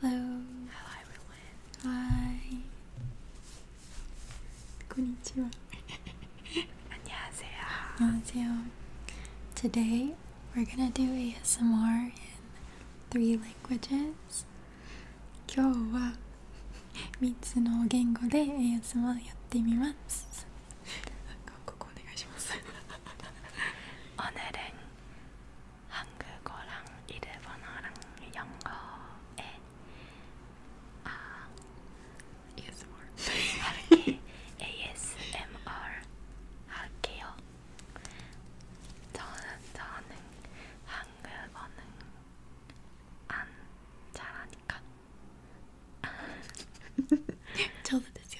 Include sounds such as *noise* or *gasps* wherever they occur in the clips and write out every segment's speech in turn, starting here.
Hello. Hello everyone. Hi. こんにちは。안녕하세요안녕하세요 Today we're gonna do ASMR in three languages. 今日は三つの言語で ASMR やってみます。韓国お願いします。오늘은 한국어랑 일본어랑 영어에 아 ASMR *laughs* 할게 ASMR 할게요. 저는 저는 한국어는 안 잘하니까. *laughs* 저도 되죠.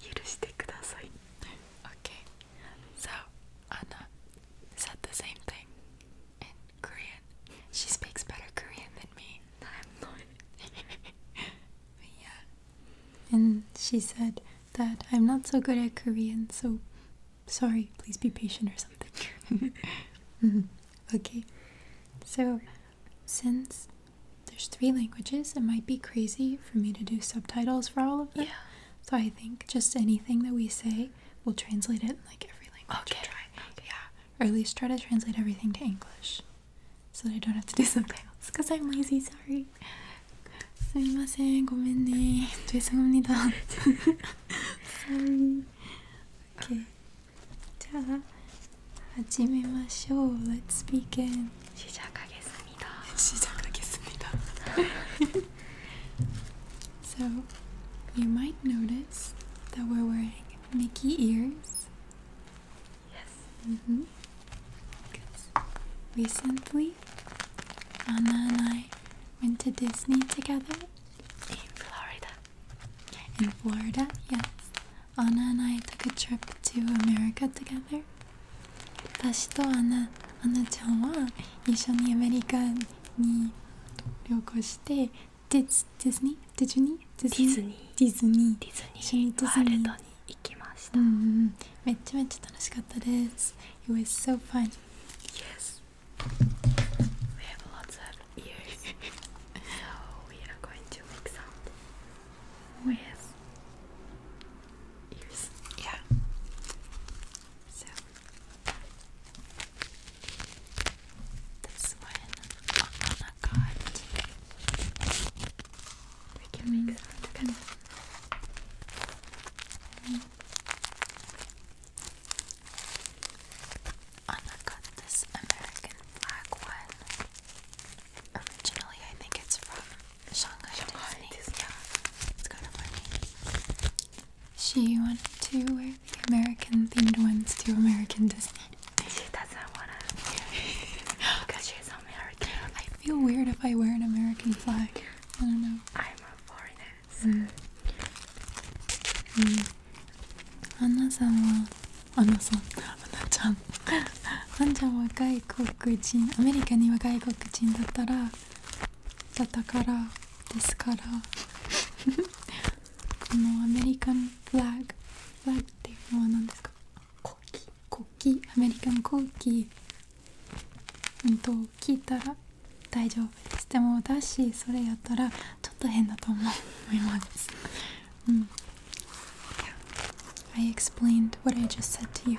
許してください *laughs* Okay, so Anna said the same thing in Korean. She speaks better Korean than me. I'm not. *laughs* yeah. And she said that I'm not so good at Korean, so sorry, please be patient or something. *laughs* Mm-hmm. Okay, so since there's three languages, it might be crazy easy for me to do subtitles for all of them. Yeah. So I think just anything that we say, we'll translate it in like every language. Okay. Try. Okay. Yeah. Or at least try to translate everything to English, so that I don't have to do subtitles. *laughs* Cause I'm lazy. Sorry. すみません、ごめんね。죄송합니다. *laughs* Sorry. Okay. じゃあ始めましょう. Let's begin. 시작하겠습니다. 시작하겠습니다. *laughs* 시작하겠습니다. so, you might notice that we're wearing Mickey ears. Yes. Mm Recently, Anna and I went to Disney together. In Florida. In Florida, yes. Anna and I took a trip to America together. 私とアナアナちゃんは一緒にアメリカに旅行してディズディニーディズニーディズニーディズニーに行きました、めっちゃめっちゃ楽しかったです It was so fun Yes We have lots of e a r we are going to make sound w i Yeah. So this one Alana oh, oh, oh, got. We can make some kind of. Mm. Anna got this American flag one. Originally, I think it's from Shanghai, Disney. Yeah, it's kind of funny. She wanted to wear the American themed ones to American Disney. She doesn't want to. because she's American. I feel weird if I wear an American flag. I don't know. I'm a foreigner, so. Mm. Mm. Unless I'm, uh, unless I'm, I'm not done. ワンちゃんは外国人アメリカには外国人だったらだったからですからこ *laughs* のアメリカンフラッグフラッグっていうのは何ですかコーキコキアメリカンコーキうんと聞いたら大丈夫しても私それやったらちょっと変だと思いますうん I explained what I just said to you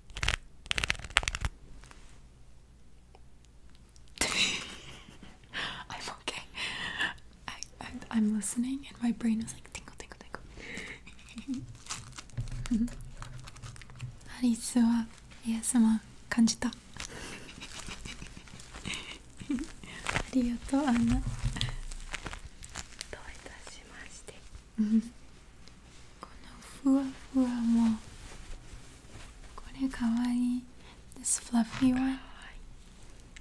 *laughs* I'm okay. I, am listening, and my brain is like tingle, tingle, tingle. アリスはイエスマ感じた。ありがとう、アンナ。どういたしまして。*laughs* *laughs* このふわふわもこれかわいい This fluffy one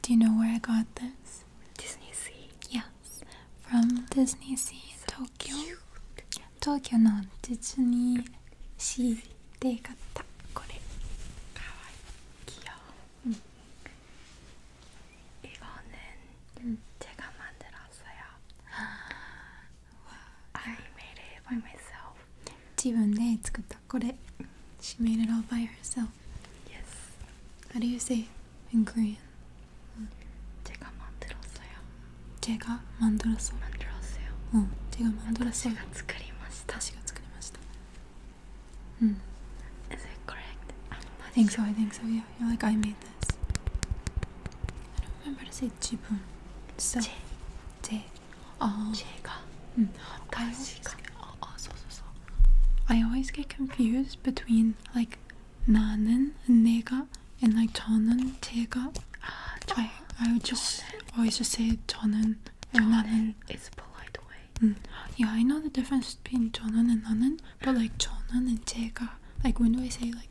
Do you know where I got this? Disney Sea Yes From Disney Sea Tokyo Tokyo のディズニーシーで買ったこれかわいい귀여워이거는제가만들었 *gasps* I made it by myself. I made it all by myself. Yes. How do you say in Korean? 제가 만들었어요. it correct? I'm not think so. I think so. Yeah you. you like, I made this. I don't remember to say jibun. So, 제가, I always, get confused between like 나는, 내가, and like 저는, 제가. 아, 저, I, I would just always just say 저는, or 나는. It's a polite way. Yeah, I know the difference between 저는 and 나는, but like 저는 and 제가. Like when do I say like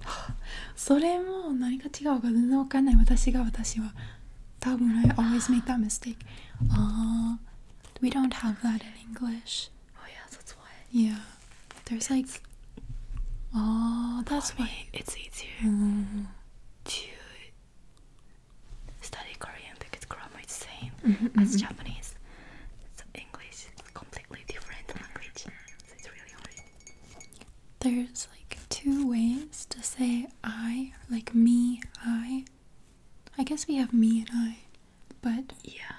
*gasps* それも何か違うか全然わかんない私が私は多分 I always make that mistake ああ We don't have that in English Oh yeah that's why Yeah There's like Oh that's why It's easier mm-hmm. to study Korean because grammar is the same mm-hmm, as mm-hmm. Japanese So English is completely different language it's really hard there's like two ways to say I, like me, I. I guess we have me and I, but yeah.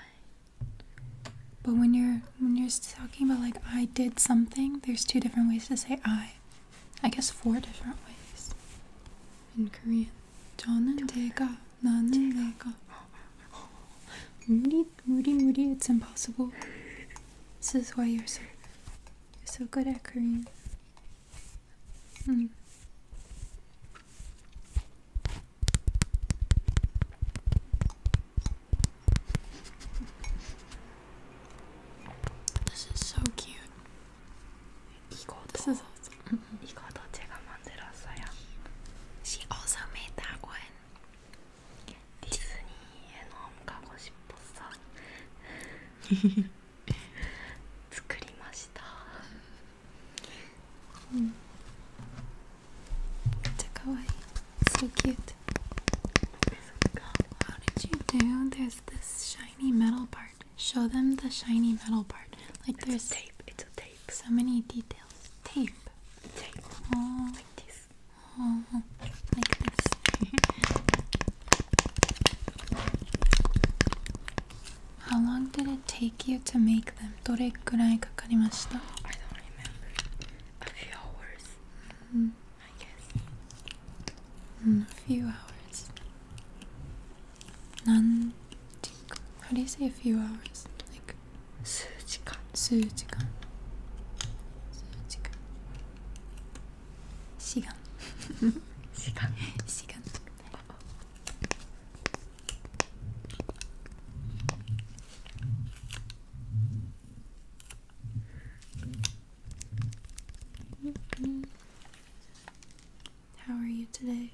But when you're when you're talking about like I did something, there's two different ways to say I. I guess four different ways in Korean. 저는 제가, 나는 내가. 무리, 무리, 무리. It's impossible. This is why you're so you're so good at Korean. Hmm. This is so cute. This is awesome. She also made that one. 디즈니에 너무 가고 싶었어.作りました. 음. So cute. How did you do? There's this shiny metal part. Show them the shiny metal part. Like there's tape. It's a tape. So many details. Tape. Tape. Like this. *laughs* How long did it take you to make them? どれくらいかかりました I hours, mm. I guess. Mm, a few hours. 何時間 hmm. hmm, How do you say a few hours? Like 시간 *laughs* 시간 시간 How are you today?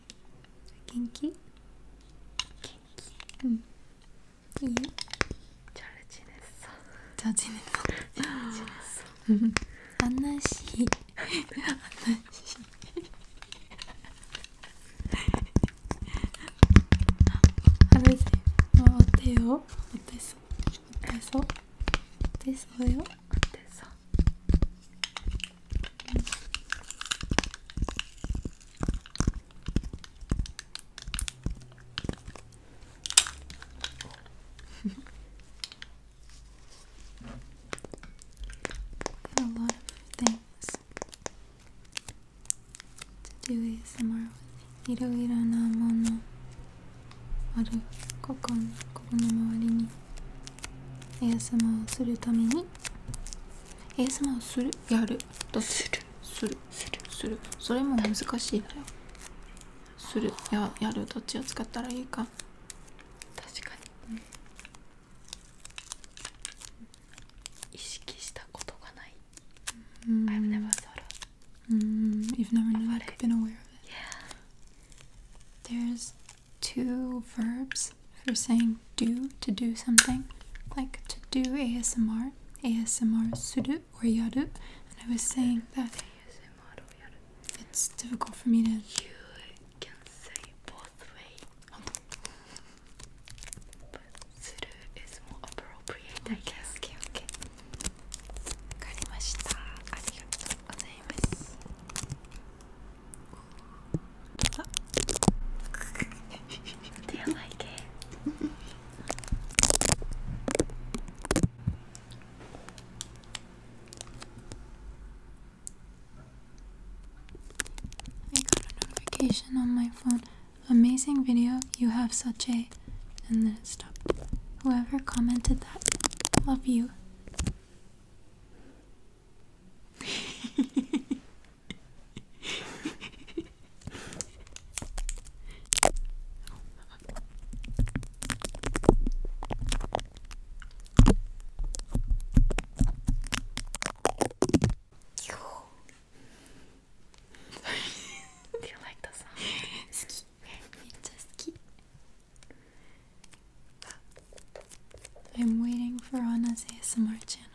Kinky? Mm. 응. 잘 지냈어. 잘 지냈어. 잘 지냈어. *laughs* 안나 씨. 안나 씨. 하루세. 어, 어때요? 어땠어? 어땠어? 어땠어요? 어땠어? 음. a lot of things t いろいろなものあるここのここの周りに ASMR をするために ASMR をするやるとするるするするするそれも難しいなよするややるどっちを使ったらいいか確かに、うん、意識したことがない、mm. I've never thought of mm. You've never known, like, been aware of it yeah There's two verbs for saying do to do something like to do ASMR ASMR する or yut and I was saying that it's difficult for me to. You can say both ways, suru is more appropriate, I Okay, okay. わかりました。ありがとうございます。Do *laughs* you it? *laughs* I got a notification on my phone. Amazing video. You have such a. And then it stopped. Whoever commented that, love you. *laughs* *laughs* Do you like the sound? I'm waiting for Anna's ASMR channel.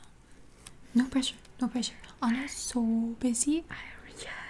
No pressure, no pressure. Anna's so busy. I, yeah,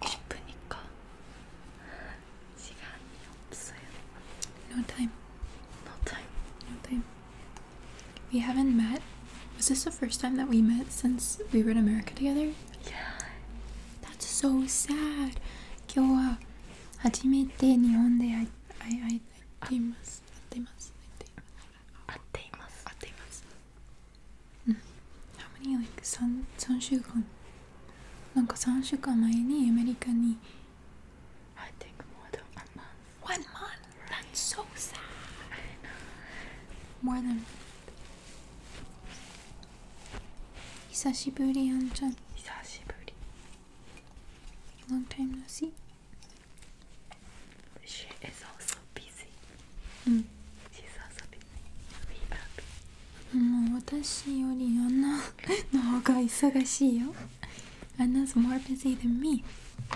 기쁘니까 시간이 없어요. No time. No time. No time. We haven't met. Was this the first time that we met since we were in America together? Yeah. That's so sad. 今日は初めて日本で会っています。会っています。会っています。会っています。会っています。how many like 3, 3週間なんか3週間前にアメリカに I think more than a month One month? That's so sad I know More than Long time no see she is also busy. Mm. She's also busy. We are busy. もう私よりアナの方が忙しいよ。Anna's *laughs* more busy than me. How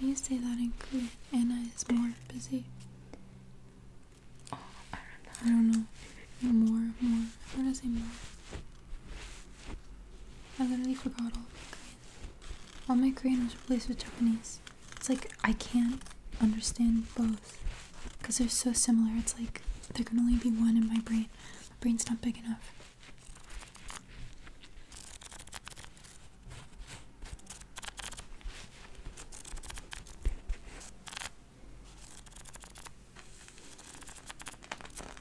do you say that in Korean? Anna is more busy. Oh, I don't know. I don't know. More, more. How does it more? I literally forgot all of it. All my Korean is replaced with Japanese. It's like I can't understand both because they're so similar. It's like there can only be one in my brain. My brain's not big enough.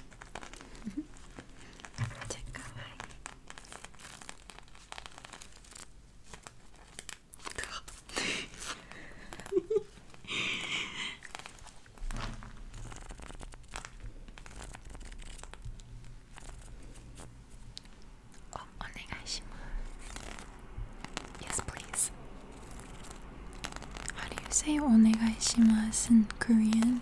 *laughs* Yes, please. How do you say お願いします in Korean?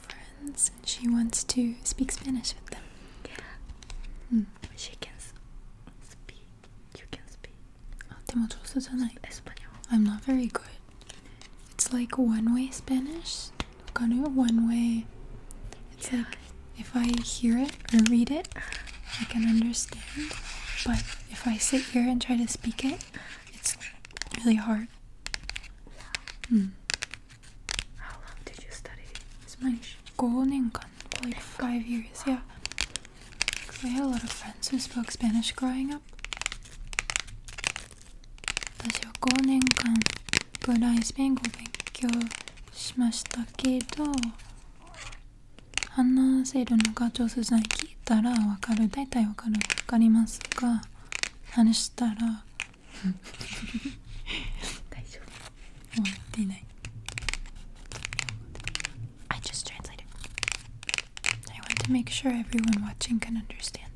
friends and she wants to speak Spanish with them. Yeah. Mm. She can speak. You can speak. Oh, I'm not very good. It's like one way Spanish. Kind of one way. It's yeah. like if I hear it or read it, I can understand. But if I sit here and try to speak it, it's really hard. Mm. How long did you study Spanish? 5年間 like 5 years, yeah. I had a lot of friends who spoke Spanish growing up. 私は5年間ぐらいスペイン語を勉強しましたけど話せるのが上手じゃない聞いたらわかる大体わかるわかりますが話したら *laughs* I just translated I want to make sure everyone watching can understand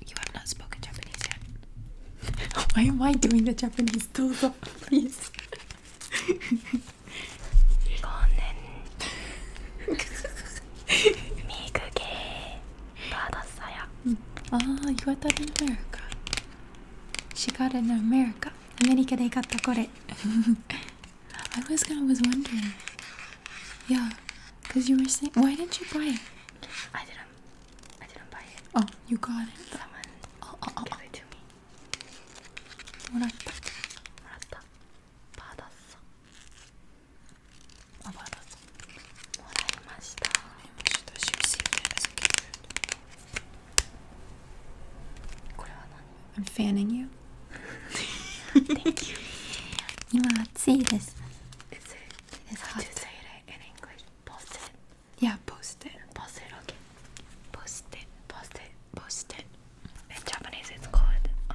You have not spoken Japanese yet *laughs* Why am I doing the Japanese? どうぞ please *laughs* 받았어요. 음. 아, you got that in America. She got it in America. America they got the I was kind of wondering. Yeah, because you were saying, why didn't you buy it? I didn't. I didn't buy it. Oh, you got it. oh, oh, oh, gave it to me. 받았어. 받았어. *laughs* ?I'm fanning you. Thank you. *laughs* It is hot. Yeah, post it. Post it, okay. Post it. Post it. Post it. In Japanese, it's called uh,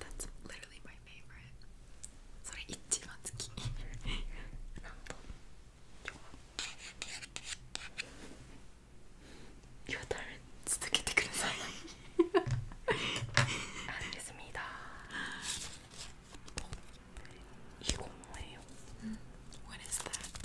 That's literally my favorite. それ一番好き。なんと今日、たれ続けてください。なんですみだ。いい子もえよ。What is that?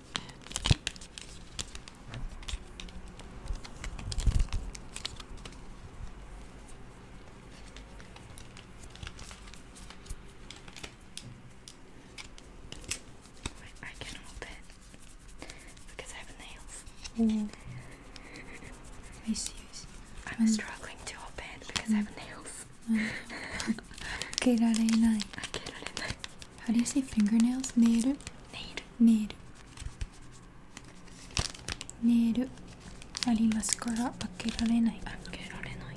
I can mm. mm. open it because I have nails. Mm. I see. I see. I'm struggling to open because I have nails. Mm. 開けられない。開けられない。how do you say fingernails? Neru. Neru. Neru. ありますから開けられない開けられない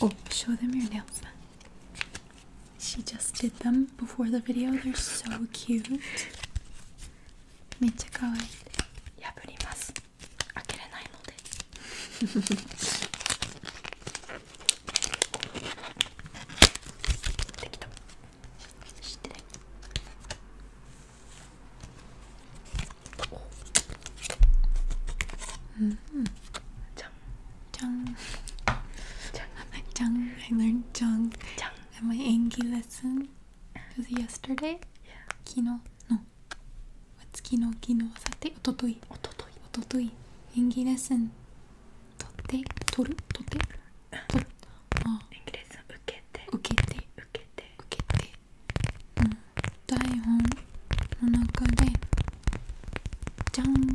お、oh, show them your nails she just did them before the video they're so cute めっちゃ可愛い破ります *laughs* 開けれないのでできた知ってねうんじゃんじゃんじゃん Jung, *laughs* I learned Jung, at my Angie lesson. Was yesterday? Yeah. Kino. の月の昨日さておとといおとといおととい演技レッスンとってとるとてと、るあ演技レッスン受けて受けて受けて受けて、うん、台本の中でじゃんじ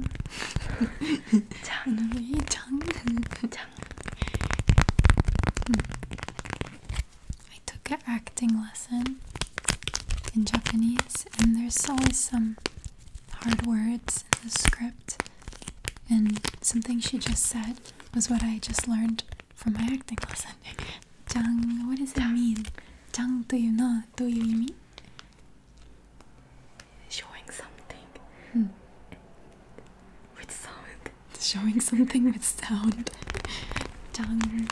ゃんいいじゃんじゃん、うん、は I took an acting lesson in Japanese, and there's always some hard words in the script. And something she just said was what I just learned from my acting lesson. *laughs* Jang, what does it mean? Jang, do you know? Do you mean? Showing something hmm. with sound. Showing something with sound. *laughs* Jang,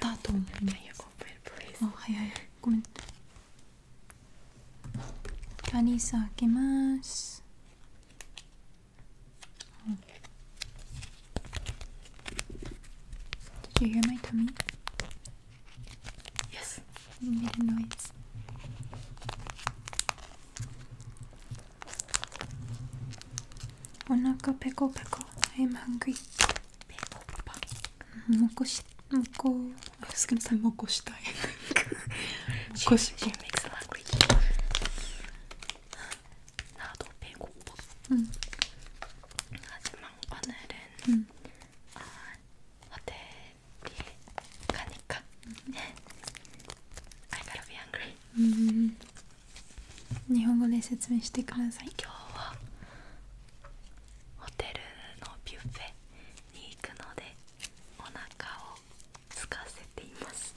だと思う。あ、はいはいはい、ごめん。カニス開けます。Did you hear my tummy? Yes. You made a noise. Onaka pickle pickle. I am hungry. 배고파. 먹고 싶 먹고. I was 먹고 싶다. 먹고 싶어. 나도 배고파. 응. 하지만 오늘은 아, 호텔에 가니까. I gotta be hungry. 日本語で説明してください今日はホテルのビュッフェに行くのでお腹を空かせています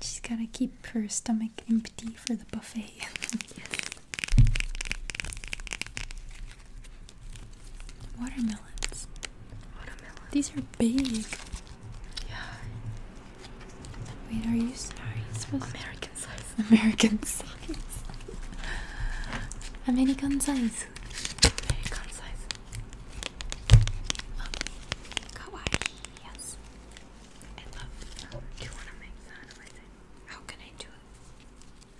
has *laughs* gotta keep her stomach empty for the buffet *laughs* Watermelons These are big yeah. Wait, are you sorry? American size. American *laughs* size. American size. American size. Um, kawaii, yes. I How can I do it?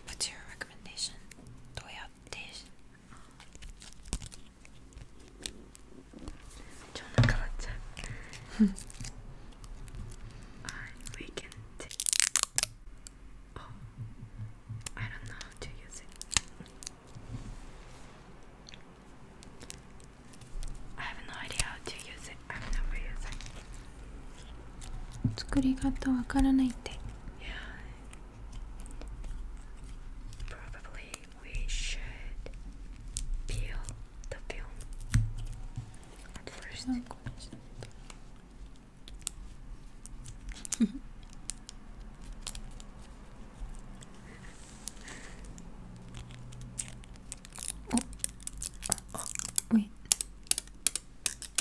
What's your recommendation? Do dish? 좋은 아까 맞죠? I can take oh, I don't know how to use it. I have no idea how to use it. I've never used it. 作り方わからないって。Yeah. Probably we should peel the film first. *laughs* Oh. oh, wait.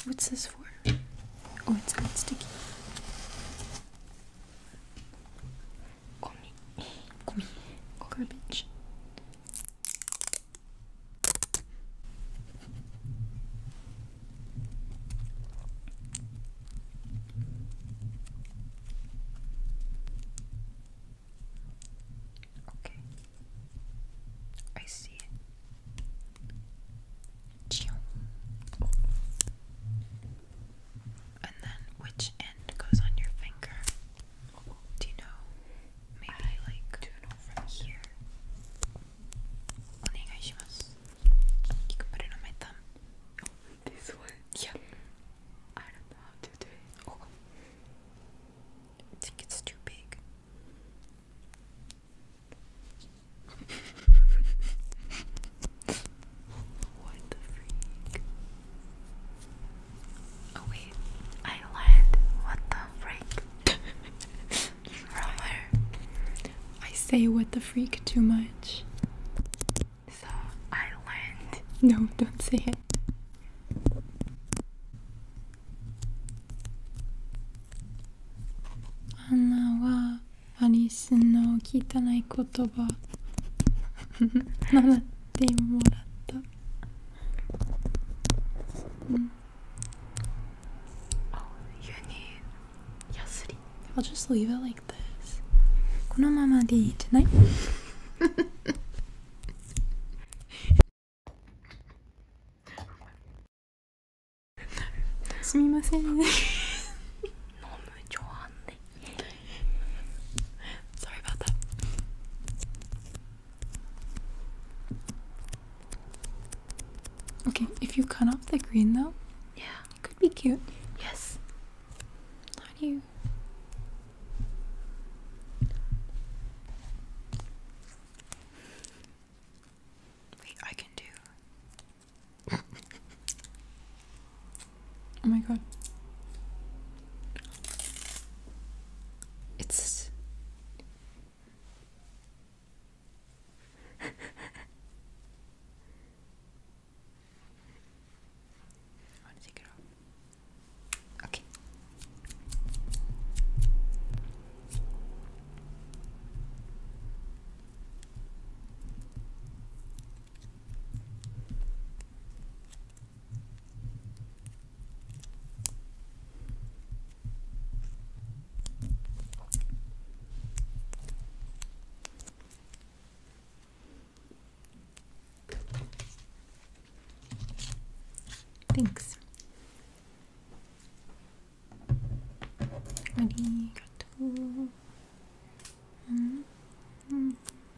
What's this for? Oh, it's not sticky. Gummy. Okay. I see it. And then which end goes on your finger? Do you know? Maybe I like do know from here. You can put it on my thumb. this one? Yeah. I don't know how to do it. Oh. I think it's too big. *laughs* what the freak? Oh wait, I lied. What the freak? *laughs* Robert. I say what the freak too much. So I land. No, don't say it. Anna wa Alice no kitanai kotoba. 習ってもらった *laughs* Mm. Oh, you need yasuri. I'll just leave it like this. このままでいいじゃないすみませんね。飲む上半で Sorry about that. Okay, if you cut off the green though, yeah, it could be cute. Yes. How do you? Wait, I can do. *laughs* Oh my god. It's. *laughs* Thanks. Arigato. Mm -hmm.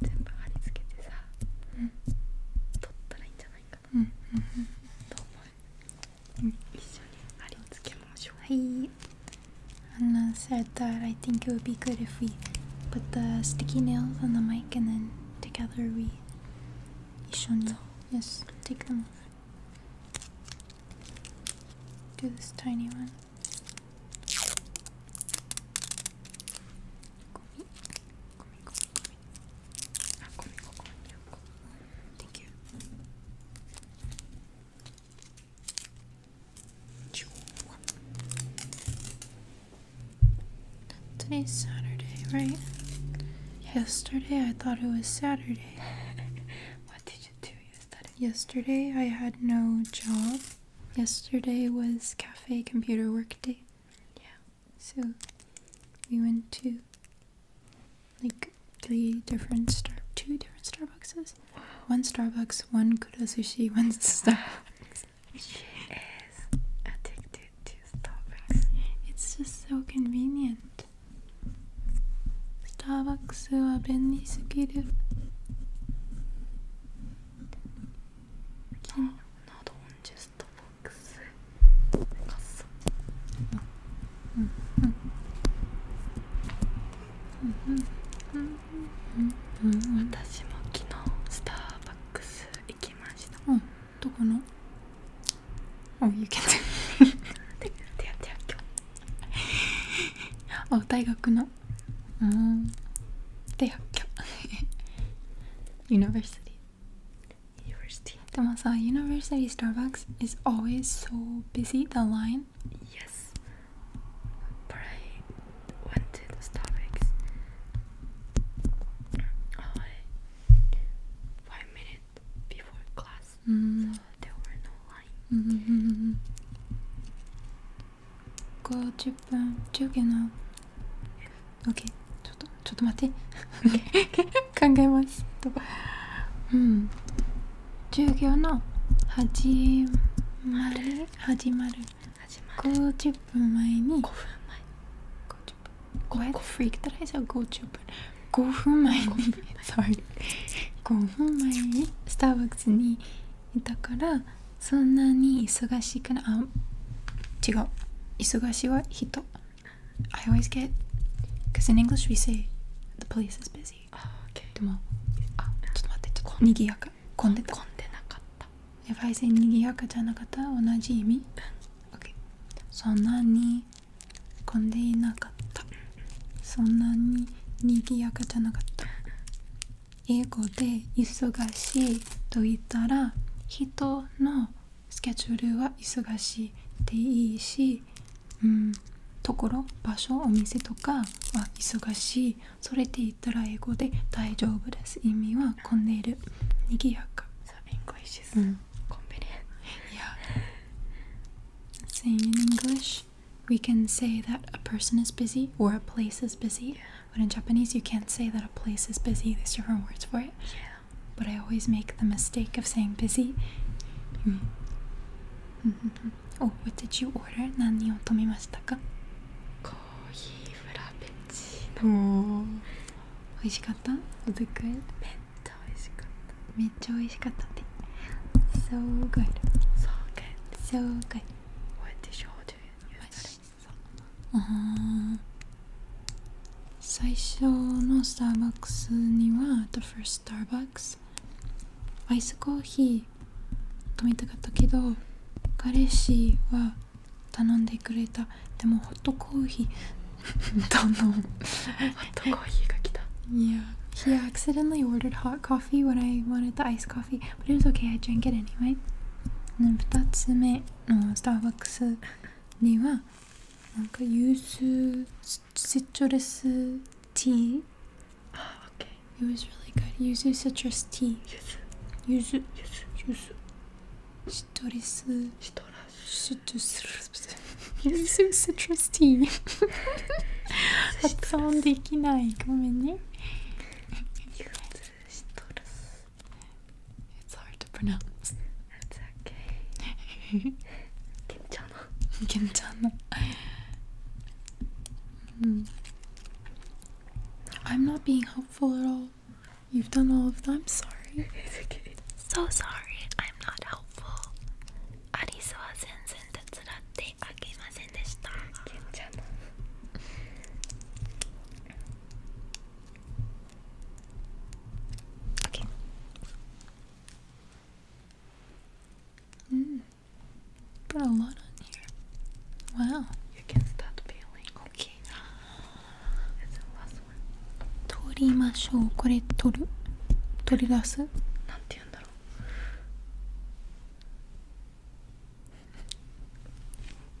全部貼り付けてさ、うん、取ったらいいんじゃないかな、うんうん、と思う、うん、一緒に貼り付けましょうはい Anna said that I think it would be good if we put the sticky nails on the mic and then together we Yes, take them off do this tiny one. Thank you. Today's Saturday, right? Yesterday I thought it was Saturday. *laughs* What did you do yesterday? Yesterday I had no job. Yesterday was cafe computer work day. Yeah. So we went to like three different star two different Starbuckses. One Starbucks, one Kura Sushi, *laughs* one Starbucks. she is addicted to Starbucks. It's just so convenient. スターバックスは便利すぎる金などオジュスターバックスうんうんうんうんうんうん私も昨日スターバックス行きましたうんどこの Oh, you can do it. *laughs* oh, 大学の um, 大学 University. University. でもさ、University Starbucks is always so busy, the line. Yes. But I went to the Starbucks. Oh, I, five minutes before class. Mm. So there were うん。lines. Mm-hmm. Go 10分10秒な。Okay. ちょっとちょっと待って。考えます。うん。授業の始まる始まる。始まる。50分前に。5分前。50分。こうやって振り切ったらいいじゃん。50分。5分前に sorry 5分前にスターバックスにいたからそんなに忙しくないあ違う忙しいは人 I always get because in English we say the place is busy、o あちょっと待ってちょっとにぎやか混んで混んでなかった If I say にぎやかじゃなかった同じ意味そんなに混んでいなかったそんなににぎやかじゃなかった英語で忙しいと言ったら人のスケジュールは忙しいでいいし、うん、ところ場所お店とかは忙しいそれで言ったら英語で大丈夫です意味は混んでいるにぎやか So e n g l i saying in English, we can say that a person is busy or a place is busy. But in Japanese, you can't say that a place is busy. There's different words for it. Yeah. But I always make the mistake of saying busy. Mm. Mm -hmm. Oh, what did you order? 何を飲みましたか? Coffee frappuccino. Oh. 美味しかった? Was it good? 美味しかっためっちゃ美味しかったで So good So good 最初のスターバックスには The first s t a アイスコーヒー飲みたかったけど彼氏は頼んでくれたでもホットコーヒー *laughs* Don't know. yeah. He accidentally ordered hot coffee when I wanted the iced coffee, but it was okay, I drank it anyway. 2つ目のスターバックスにはなんかユースシトラスティー Oh, okay. It was really good. Yuzu citrus tea. Yuzu. Yuzu. Yuzu. Yuzu. Citrus. Citrus yüzüm stres değil. Hatta できないごめんね It's hard to pronounce. That's okay. Quintana. *laughs* Quintana. Hmm. I'm not being helpful at all. You've done all of them. I'm sorry. *laughs* So sorry. I'm not helpful. 方アリスは全然手伝ってあげませんでしたケンちゃんも OK うん Put a lot on here. Wow. You can start peeling. Okay. It's a lot 取りましょうこれ取る取り出すなんて言うんだろう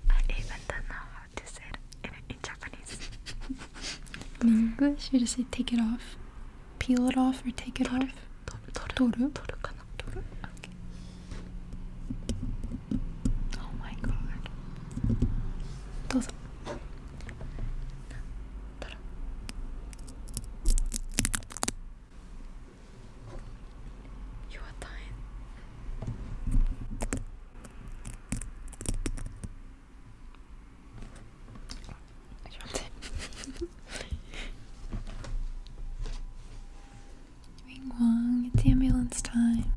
ありがとうな to say it in Japanese in English you just say take it off peel it off or take it off 取る取る取るかな取る OK Oh my god どうぞ better. You are dying. Ring Wong, it's ambulance time.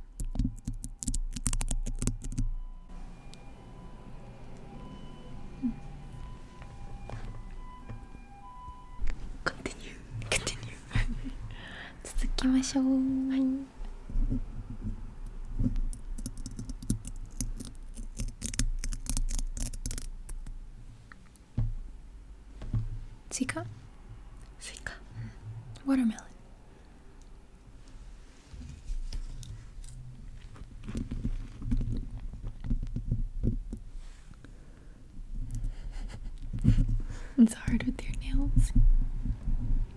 Continue, continue. 続きましょう。はい。スイカ、スイカ、watermelon。it's hard with your nails.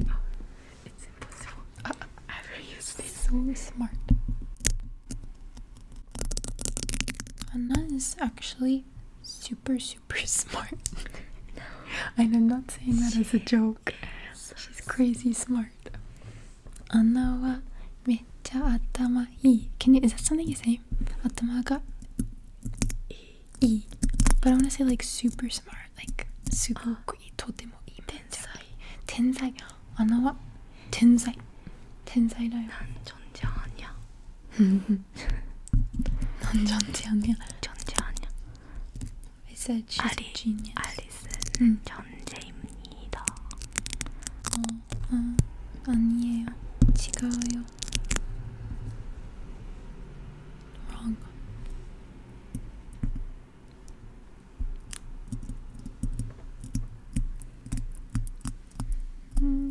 Oh, it's impossible. Uh, I've ever used this. So smart. Anna is actually super, super *laughs* smart. no. I'm not saying that as a joke. She's crazy smart. Anna wa mecha atama ii. Can you? Is that something you say? Atama ga ii. But I want to say like super smart, like super ii, *gasps* totemo ii. Tensai. Tensai. Anna wa tensai. Tensai da yo. 난 존재 아니야. 난 존재 아니야. 존재 아니야. I said she's 아리, a genius. 알리스는 응. 존재입니다. 어, 어, 아니에요. 지가요. Wrong. 음.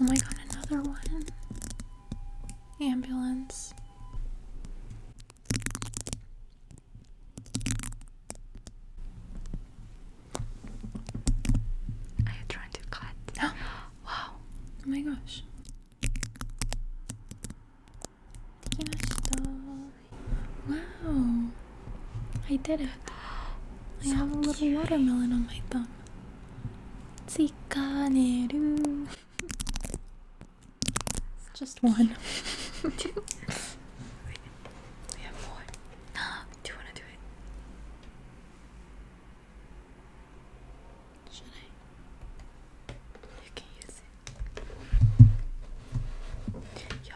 Oh my god, another one. Ambulance. Are you trying to cut? No. *gasps* wow. Oh my gosh. Wow. I did it. I have a little watermelon on my thumb. Tsikaneru. Just one. *laughs* Two. we have more. *gasps* Do you want to do it? Should I? You can use it.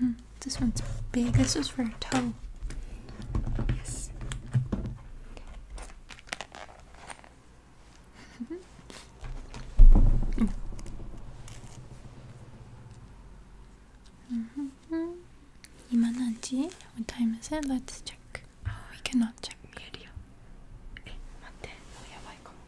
Mm, this. one's big. This is for a toe. Yes. mm. Mm -hmm. What time is it? Let's check. Oh, we cannot check. video.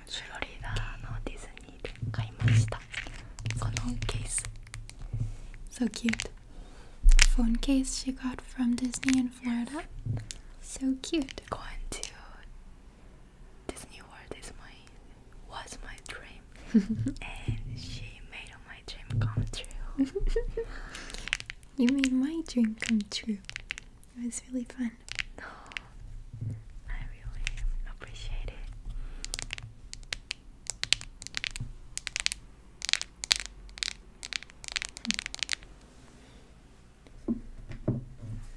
フロリダのディズニーで買いましたこのケース So cute Phone case she got from Disney in Florida So cute Going to Disney World is my, was my dream *laughs* And she made my dream come true *laughs* You made my dream come true it was really fun. Oh, I really appreciate it.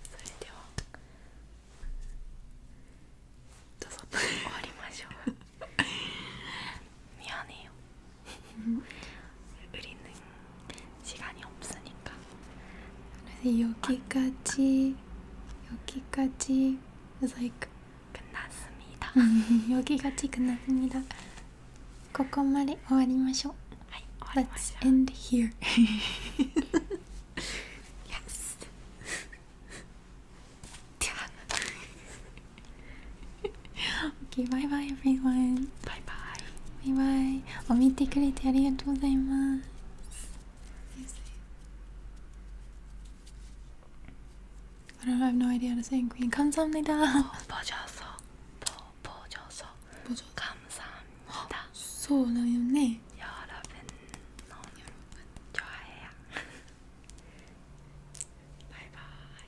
それではどうぞ終わりましょう。ミヤネよ。売り抜 *laughs* 시간이없으니 까. 그래서여기까지여기까지그래서 like 끝났습니 다. 여기까지끝났습니 다. ここまで終わりましょう。はい、終わりましょう。Let's end here. yes. では。okay, bye bye everyone. バイバイバイバイお見てくれてありがとうございますI don't have no idea how to say Queen. 감사합니다. 보셔서, 보 보셔서, 보셔. 감사합니다. 소나요네. 여러분, 여러분 좋아해요. 바이바이.